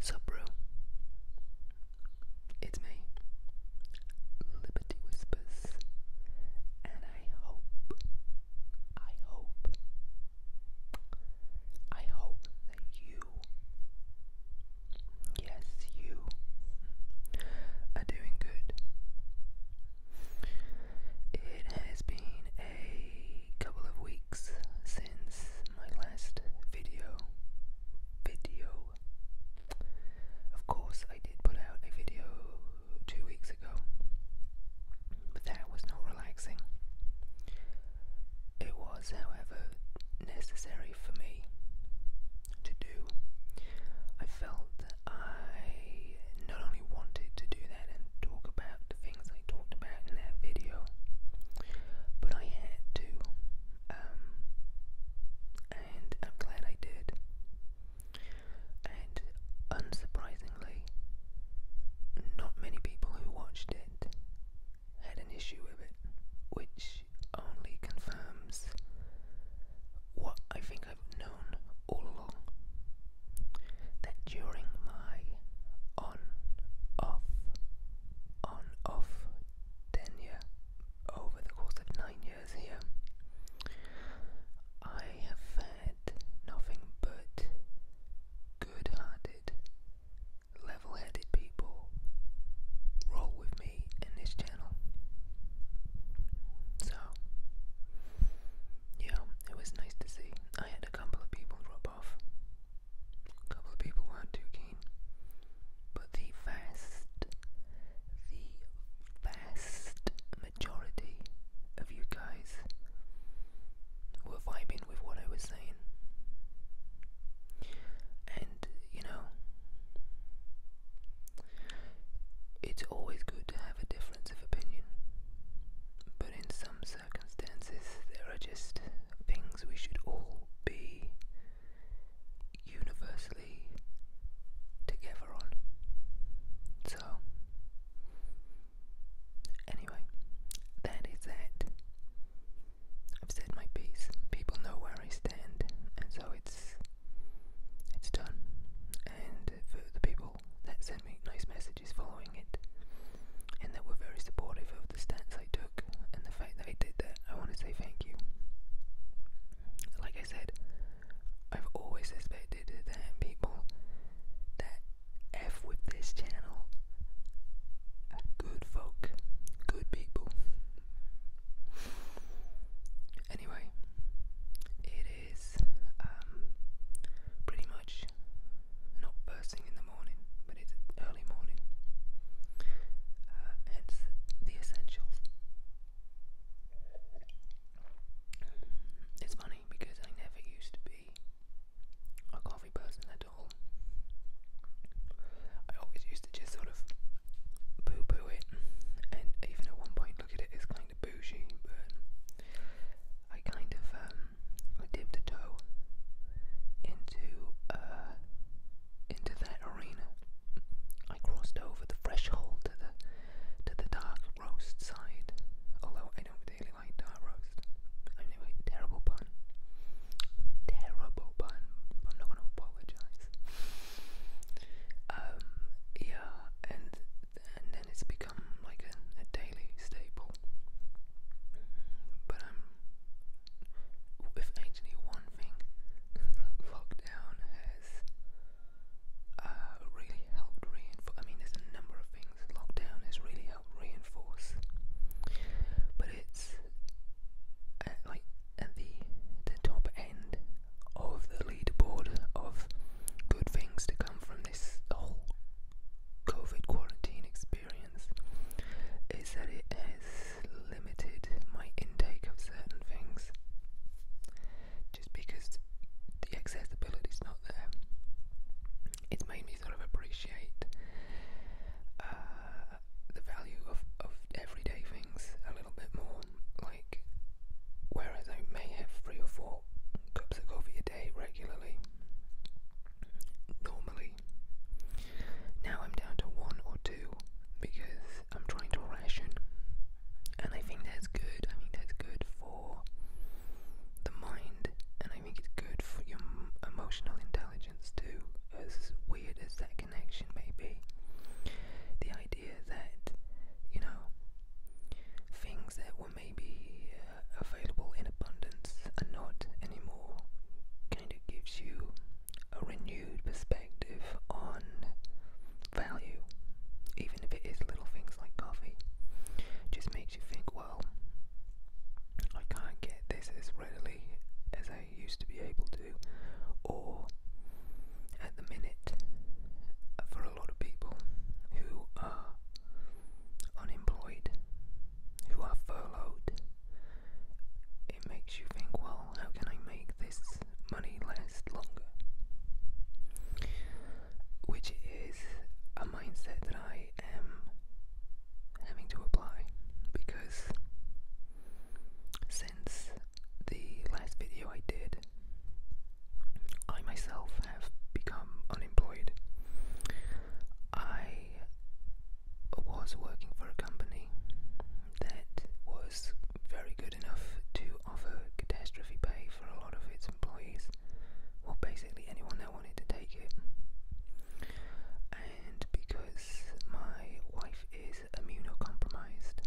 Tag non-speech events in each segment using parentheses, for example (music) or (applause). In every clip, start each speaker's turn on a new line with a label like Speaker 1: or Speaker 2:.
Speaker 1: Sup, bro? It's me, Liberty Whispers, and I hope, I hope, I hope that you, yes, you, are doing good. It has been a couple of weeks since my last video. Video. Of course, I did put out a video two weeks ago, but that was not relaxing. It was, however, necessary for me to do. I felt I not only wanted to do that and talk about the things I talked about in that video, but I had to, um, and I'm glad I did. And unsurprisingly, not many people who watched it had an issue with it, which only confirms what I think I've known all along that during my on off on off tenure over the course of nine years here, I have had nothing but good hearted, level headed people roll with me in this channel. So, yeah, it was nice to see. I had a couple of people drop off. A couple of people weren't too keen. But the vast, the vast majority of you guys were vibing with what I was saying. And, you know, it's always good to have a difference of opinion, but in some circumstances, there are just things we should all be universally together on. So, anyway, that is that. I've said my piece. People know where I stand, and so it's it's done. And for the people that sent me nice messages following it and that were very supportive of the stance I took and the fact that I did that. I want to say thank you. Like I said, I've always suspected that people that F with this channel good folk, good people. Anyway, it is um, pretty much not first in the morning, but it's early morning. Uh, the essentials. It's funny because I never used to be a coffee person at all. I always used to just sort of poo poo it, and even at one point look at it as kind of bougie, but I kind of um, dipped a toe into uh, into that arena. I crossed over the threshold to the to the dark roast side. Although I don't really like dark roast. Anyway, terrible pun. Terrible pun. I'm not gonna apologize. Um, yeah, and and and it's become like a, daily staple. But um, If actually one thing (laughs) lockdown has uh, really helped reinforce, I mean, there's a number of things lockdown has really helped reinforce, but it's like at the the top end of the leaderboard of good things to come from this whole COVID quarantine experience is that it has limited my intake of certain things just because the accessibility is not there. It's made me sort of appreciate uh, the value of, of everyday things a little bit more whereas I may have three or four cups of coffee a day regularly, normally, now I'm down to one or two because I'm trying to ration, and I think that's good. I think that's good for the mind, and I think it's good for your emotional intelligence too. As weird as that connection may be, the idea that you know things that were maybe uh, available in abundance are not anymore kind of gives you a renewed perspective on value, even if it is little things like coffee. Just makes you think, well, I can't get this as readily as I used to be able to, or at the minute, for a lot of people who are unemployed, who are furloughed. It makes you think, well, how can I make this money last longer? Which is a mindset that I am having to apply because since the last video I did, I myself have become unemployed. I was working for a company that was very good enough to offer catastrophe pay for a lot of its employees, or basically anyone that wanted to take it. And because my wife is immunocompromised,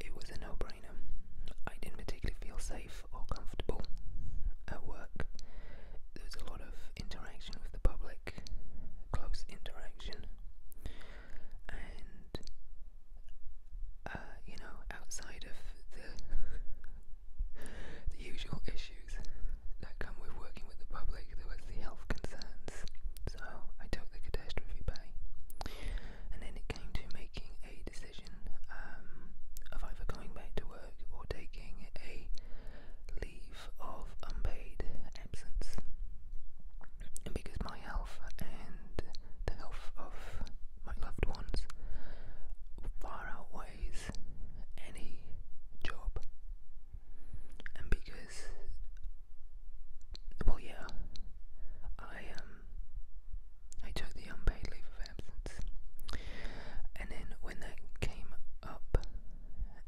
Speaker 1: it was a no brainer. I didn't particularly feel safe or comfortable at work. There was a lot of interaction with the public, close interaction, and uh, you know, outside of the the usual issues that come with working with the public, there was the health concerns. So I took the catastrophe pay, and then it came to making a decision um, of either going back to work or taking a leave of unpaid absence. because my health and the health of my loved ones far outweighs any job. And because, well, yeah, I am um, I took the unpaid leave of absence. And then when that came up,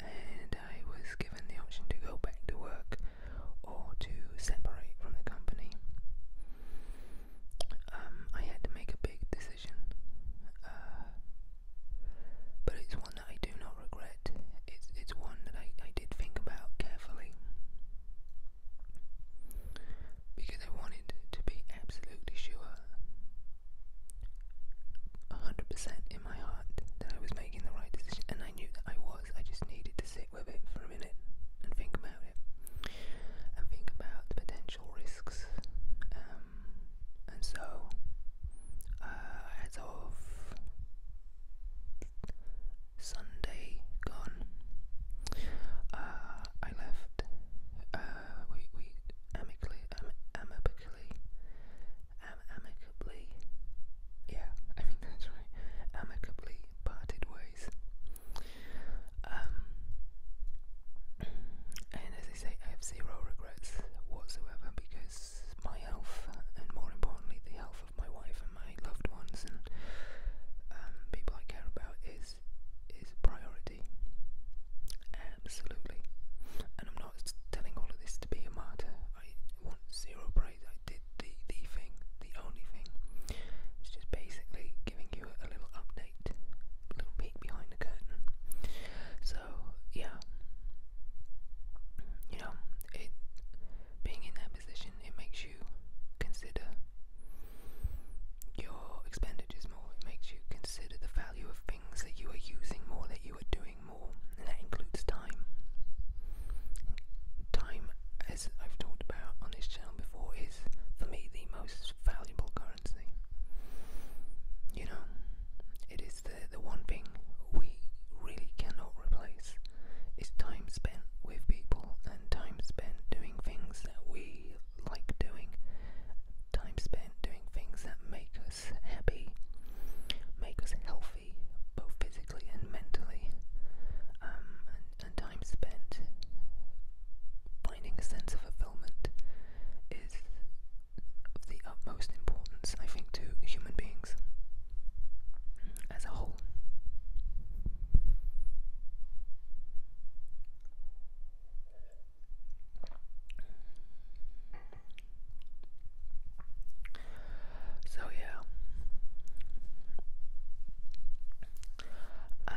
Speaker 1: and I was given the option to go back to work or to separate from the company, um, I had to make a big decision. Uh, but it's one that I do not regret. It's it's one that I, I did think about carefully because I wanted to be absolutely sure, 100% in my heart, that I was making the right decision, and I knew that I was. I just needed to sit with it for a minute and think about it, and think about the potential risks. Um, and so, uh, of Sunday gone. Uh, I left. Uh, we we amicably, am, amicably, am, amicably. Yeah, I think that's right. Amicably parted ways. Um, and as I say, I have zero regrets whatsoever because my health, and more importantly, the health of my wife for my loved ones and um, people I care about is is priority. Absolutely. And I'm not telling all of this to be a martyr. I want zero praise. I did the the thing, the only thing. It's just basically giving you a, a little update, a little peek behind the curtain. So yeah, you know, it being in that position it makes you consider your expenditures more, it makes you consider the value of things that you are using more, that you are doing more, and that includes time. Time, as I've talked about on this channel before, is for me the most valuable currency. You know, it is the, the one thing we really cannot replace is time spent with people and time spent doing things that we like doing, time spent doing things that make us happy, make us healthy, both physically and mentally, um, and time spent finding a sense of fulfillment is of the utmost importance, I think, to human beings as a whole. So yeah. Um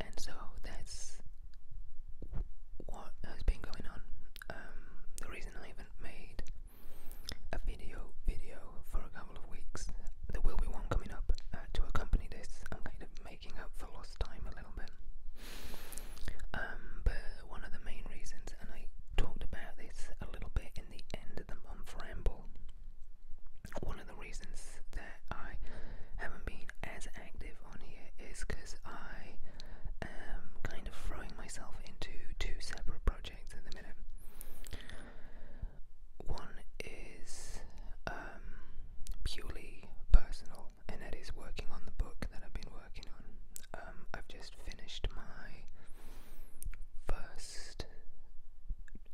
Speaker 1: and so that's what has been going on. Um, the reason I have made a video video for a couple of weeks. There will be one coming up uh, to accompany this. I'm kind of making up for lost time a little bit. Um, but one of the main reasons, and I talked about this a little bit in the end of the month ramble, one of the reasons that I haven't been as active on here is because I am kind of throwing myself into two separate projects at the minute. One is um, purely personal, and that is working on the book that I've been working on. Um, I've just finished my first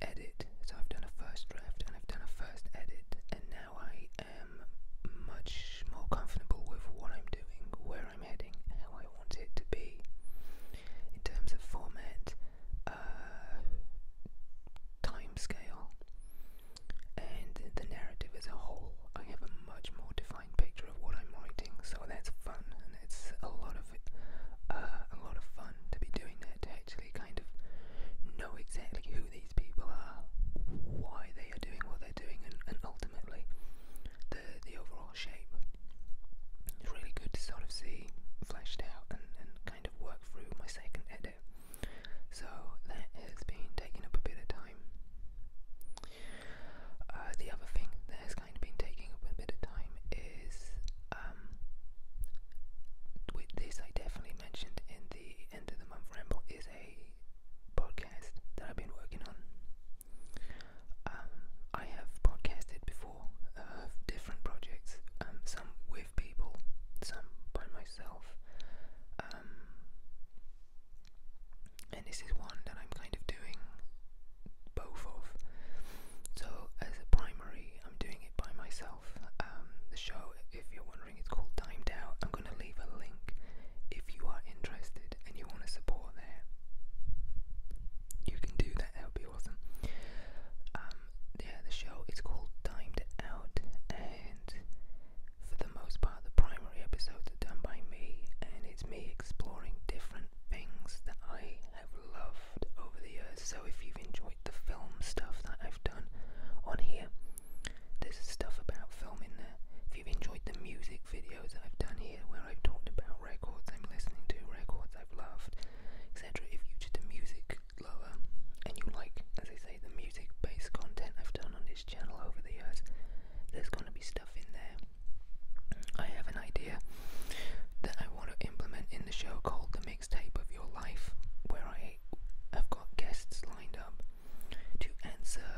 Speaker 1: edit, so I've done a first draft and I've done a first edit, and now I am much more comfortable with what I'm doing, where I'm heading, how I I want it to be. In terms of format, uh, time scale, and the narrative as a whole, I have a much more defined picture of what I'm writing, so that's fun, and it's a lot of uh, a lot of fun to be doing that to actually kind of know exactly who these people are, why they are doing what they're doing, and, and ultimately the the overall shape it's really good to sort of see fleshed out and, kind of work through my second edit. So that has been taking up a bit of time. Uh, the other thing that has kind of been taking up a bit of time is, um, with this I definitely mentioned in the end of the month ramble, is a podcast that I've been working on. Um, I have podcasted before uh, different projects, um, some with people, some by myself, um, and this is one that I'm kind of doing both of. So, as a primary, I'm doing it by myself. the show, if you're wondering, it's called Timed Out. I'm gonna leave a link if you are interested and you want to support there. You can do that be awesome. Um, yeah, the show is called Timed Out, and for the most part, the primary episodes are done by me, and it's me exploring different things that I have loved over the years. So if you've enjoyed the film stuff that I've done on here, there's stuff about film in there. If you've enjoyed the music videos that I've done here, where I've talked about records I'm listening to, records chords I've etc. If you're just music lover and you like, as I say, the music based content I've done on this channel over the years, there's going to be stuff in there. I have an idea that I want to implement in the show called The Mixtape of Your Life, where I have got guests lined up to answer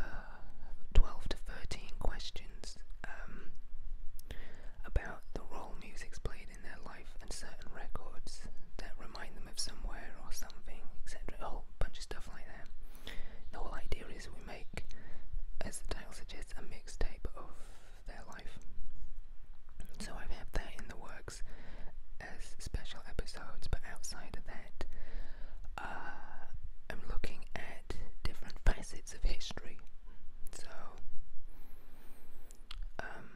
Speaker 1: 12 to 13 questions. Um, about the role music's played in their life and certain records that remind them of somewhere or something, etc. A whole bunch of stuff like that. The whole idea is we make, as the title suggests, a mixtape of their life. So I've had that in the works as special episodes, but outside of that, uh, I'm looking at different facets of history so, um,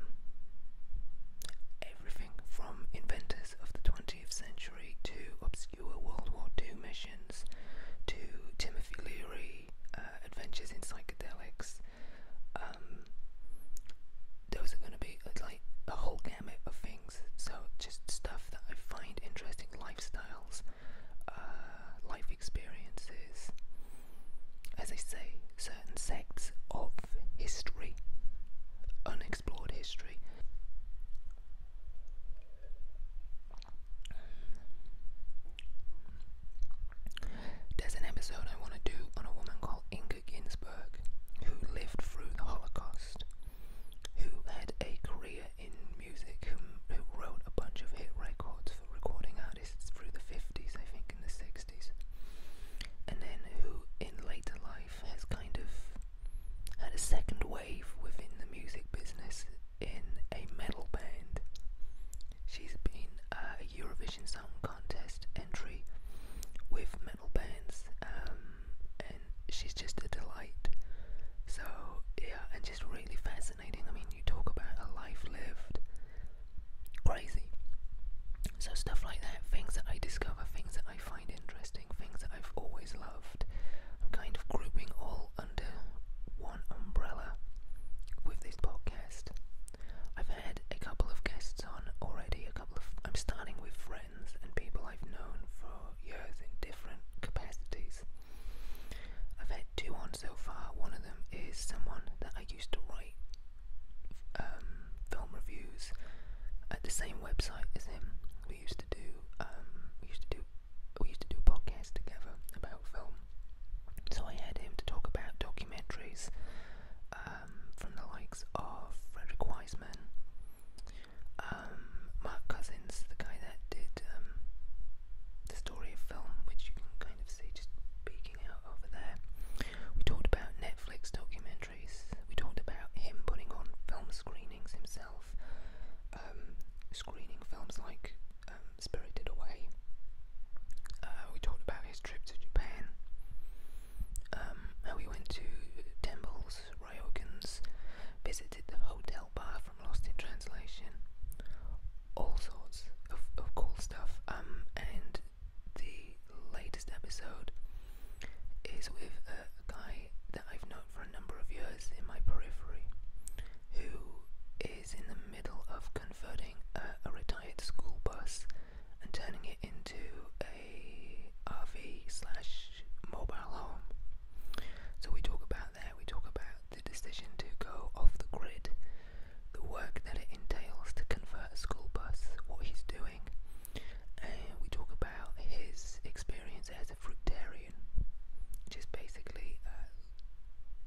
Speaker 1: everything from inventors of the 20th century to obscure World War II missions to Timothy Leary, uh, adventures in psychedelics. Um, those are going to be uh, like a whole gamut of things. So, just stuff that I find interesting, lifestyles, uh, life experiences, as I say, certain sects of history, unexplored history. There's an episode I want to do on a woman called Inga Ginsburg, who lived through the Holocaust, who had a career in music, who wrote a bunch of hit records for recording through the 50s, I think, in the 60s, and then who in later life has kind of had a second wave within the music business in a metal band. She's been a Eurovision Song Contest entry with metal bands, um, and she's just a delight. So, yeah, and just really fascinating I mean, you talk about a life lived, crazy. So, stuff like that, things that I discover, things that I find interesting, things that I've always loved, I'm kind of grouping all under one umbrella with this podcast. I've had a couple of guests on already, a couple of. I'm starting with friends and people I've known for years in different capacities. I've had two on so far. One of them is someone that I used to write um, film reviews at the same website as him. We used to do um, we used to do we used to do podcasts together about film. So I had him to talk about documentaries um, from the likes of Frederick Wiseman, Mark Cousins, the guy that did um, the story of film, which you can kind of see just peeking out over there. We talked about Netflix documentaries. We talked about him putting on film screenings himself, um, screening films like um, Spirited Away. Uh, we talked about his trip to Japan. Um, how he went to temples, ryokans, visited the hotel Melba from Lost in Translation. All sorts of, cool stuff. Um, and the latest episode is with a guy that I've known for a number of years in my periphery who is in the middle of converting a retired school bus and turning it into a RV slash mobile home. So we talk about that, we talk about the decision to go off the grid, the work that it entails to convert a school bus, what he's doing, we talk about his experience as a fruitarian, just basically uh,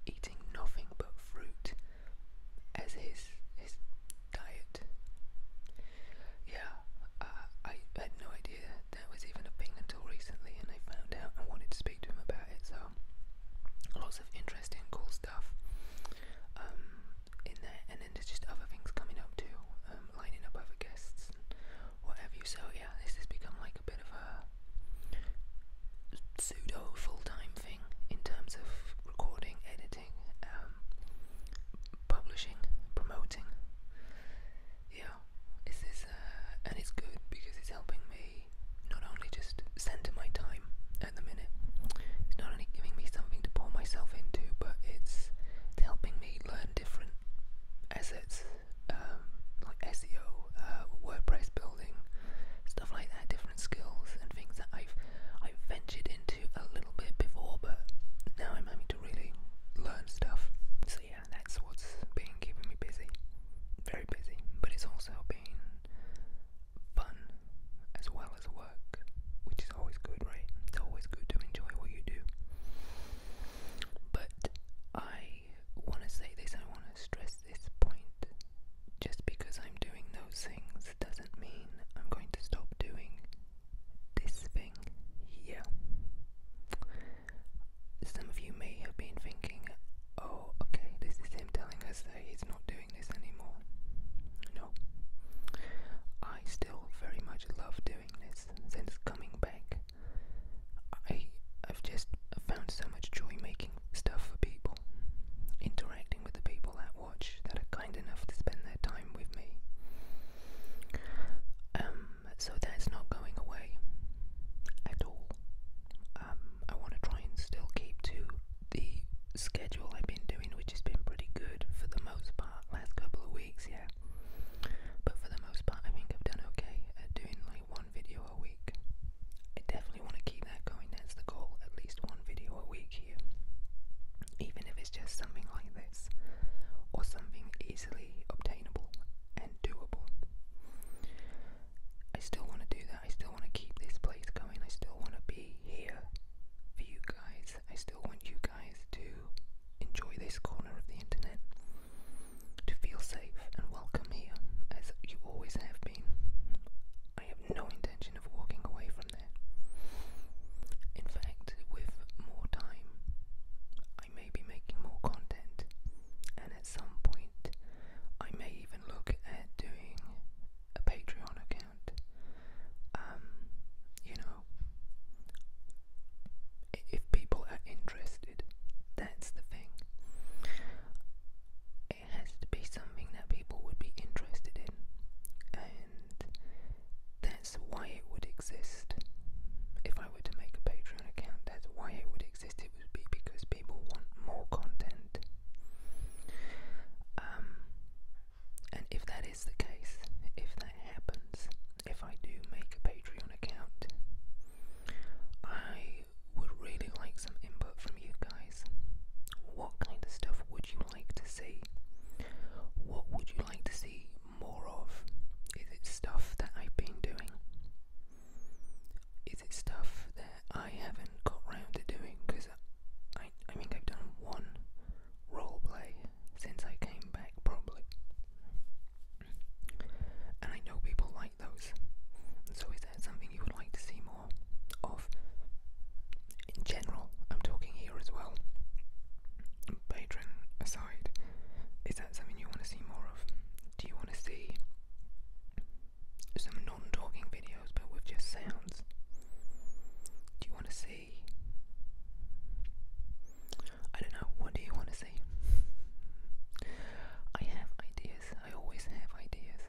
Speaker 1: eating nothing but fruit as his his diet. Yeah, uh, I had no idea that was even a thing until recently, and I found out and wanted to speak to him about it, so um, lots of interesting, cool stuff um, in there, and then there's just other things coming up too, um, lining up other guests and what have you. So yeah, this has become like a bit of a pseudo full-time thing in terms of recording, editing, um, publishing, promoting. Yeah, this is uh, and it's good because it's helping me not only just centre my time at the minute, it's not only giving me something to pour myself into, but it's helping me learn different assets um, like SEO, uh, WordPress building, stuff like that, different skills and things that I've I've ventured into a little bit before, but now I'm having to really learn stuff. So yeah, that's what's been keeping me busy but it's also been fun as well as work, which is always good, right? It's always good to enjoy what you do. But I want to say this, I want to stress this point. Just because I'm doing those things doesn't mean I'm going to stop doing this thing here some of you may have been thinking, oh, okay, this is him telling us that he's not doing this anymore. No. I still very much love doing this since coming back. I, have just found so much joy making stuff for people, interacting with the people that watch that are kind enough to spend their time with me. Um, so that's not going away at all. Um, I want to try and still keep to the schedule I've been doing, which has been pretty good for the most part, last couple of weeks, yeah. But for the most part, I think I've done okay at doing like one video a week. I definitely want to keep that going, that's the goal, at least one video a week here. Even if it's just something like this, or something easily obtainable and doable. I still want to do that. I still want to keep this place going. I still want to be here for you guys. I still want you guys to enjoy this corner of the internet, to feel safe and welcome here, as you always have been. I have no intention of walking away from there. In fact, with more time, I may be making more content and at some point I may even look at doing a Patreon account. Um, you know, if people are interested, that's the thing. It has to be something that people would be interested in, and that's why it would exist. If I were to make a Patreon account, that's why it would exist would be because people want more content. Um, and if that is the case, if that happens, if I do make a Patreon account, I would really like some input from you guys. What kind of stuff would you like to see? What would you like to see more of? Is it stuff that I've been doing? is it stuff that I haven't got round to doing? Because I, I think I've done one role play since I came back, probably. And I know people like those. So is that something you would like to see more of? In general, I'm talking here as well. Patron aside, is that something you want to see more of? Do you want to see some non-talking videos but with just sounds. Do you want to see? I don't know. What do you want to see? I have ideas. I always have ideas.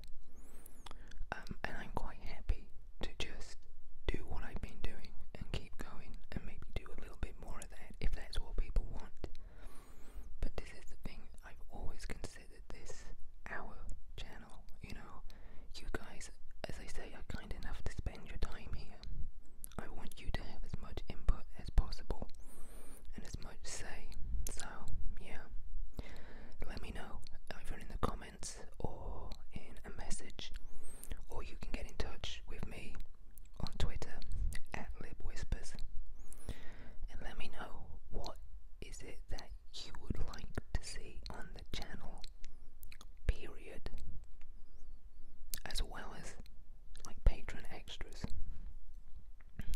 Speaker 1: Um, and I'm quite happy to just do what I've been doing and keep going and maybe do a little bit more of that if that's what people want. But this is the thing, I've always considered this our channel, you know. You guys, as I say, are kind enough to spend your time here. I want you to have as much input as possible and as much say. So, yeah. Let me know either in the comments or in a message, or you can get in touch with me on Twitter at LibWhispers and let me know what is it that you would like to see on the channel period as well as like patron extras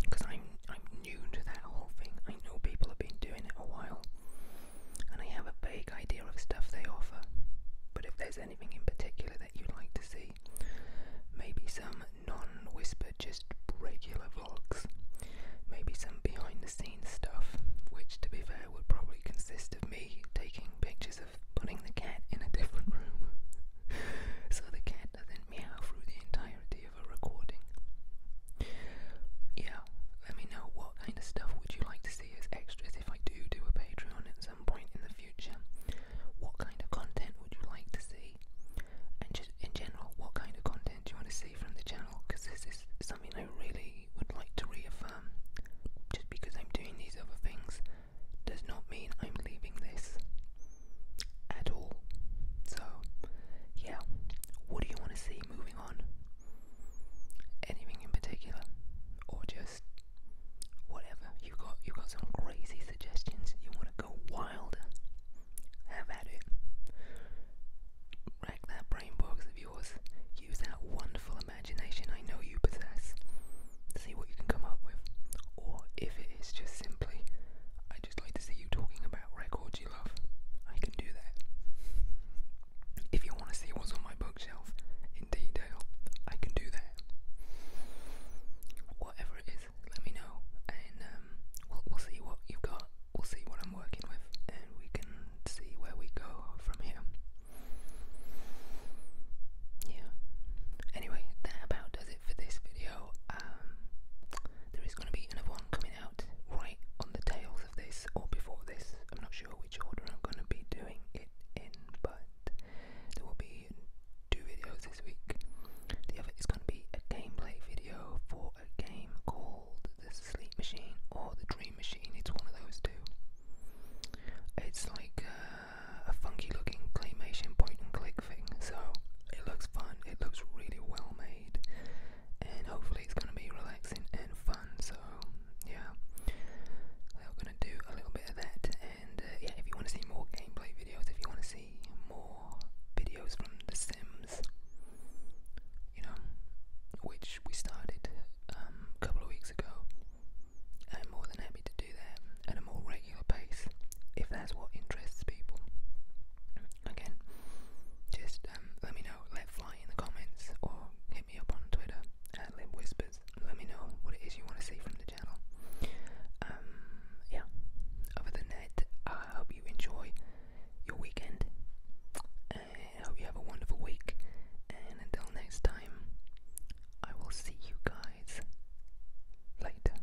Speaker 1: because I'm I'm new to that whole thing. I know people have been doing it a while and I have a vague idea of stuff they offer. But if there's anything in particular that you'd like to see, maybe some non-whisper, just regular vlogs. Maybe some behind-the-scenes stuff, which, to be fair, would probably consist of me taking pictures of putting the cat in a different (laughs) room, so the cat doesn't meow through the entirety of a recording. Yeah, let me know what kind of stuff would you like to see as extras if I do do a Patreon at some point in the future. What kind of content would you like to see? And in general, what kind of content do you want to see from the channel? Because this is something I really would like to reaffirm. Just because I'm doing these other things does not mean I'm leaving this at all. So, yeah, what do you want to see moving on? Anything in particular, or just whatever? You got you got some crazy suggestions. You want to go wild. Have at it. Rack that brain box of yours. Use that wonderful imagination I know you possess. See what you can come up with. Or if it is just simply, i just like to see you talking about records you love. I can do that. If you want to see what's on my bookshelf in detail, I can do that. Whatever it is let me know, and um, we'll, we'll see what you've got. We'll see what I'm working with, and we can see where we go from here. Yeah. Anyway, that about does it for this video. Um, there is going to be another one coming out right on the tails of this or before this. I'm not sure which order I'm going to be doing it in, but there will be two videos this week. The other is going to be a gameplay video for a game called The Sleep Machine or The Dream Machine. It's one of those two. It's like uh, a funky looking claymation point and click thing. So it looks fun, it looks really well made, and hopefully it's going to be relaxing and fun. So yeah, we're going to do a little bit of that. And uh, yeah, if you want to see more gameplay videos, if you want to more videos from The Sims, you know, which we started um, a couple of weeks ago. I'm more than happy to do that at a more regular pace if that's what interests people. Again, just um, let me know, let fly in the comments, or hit me up on Twitter at LibWhispers. Let me know what it is you want to see from um, yeah, other than that, I hope you enjoy your weekend. I hope you have a wonderful week. And until next time, I will see you guys later.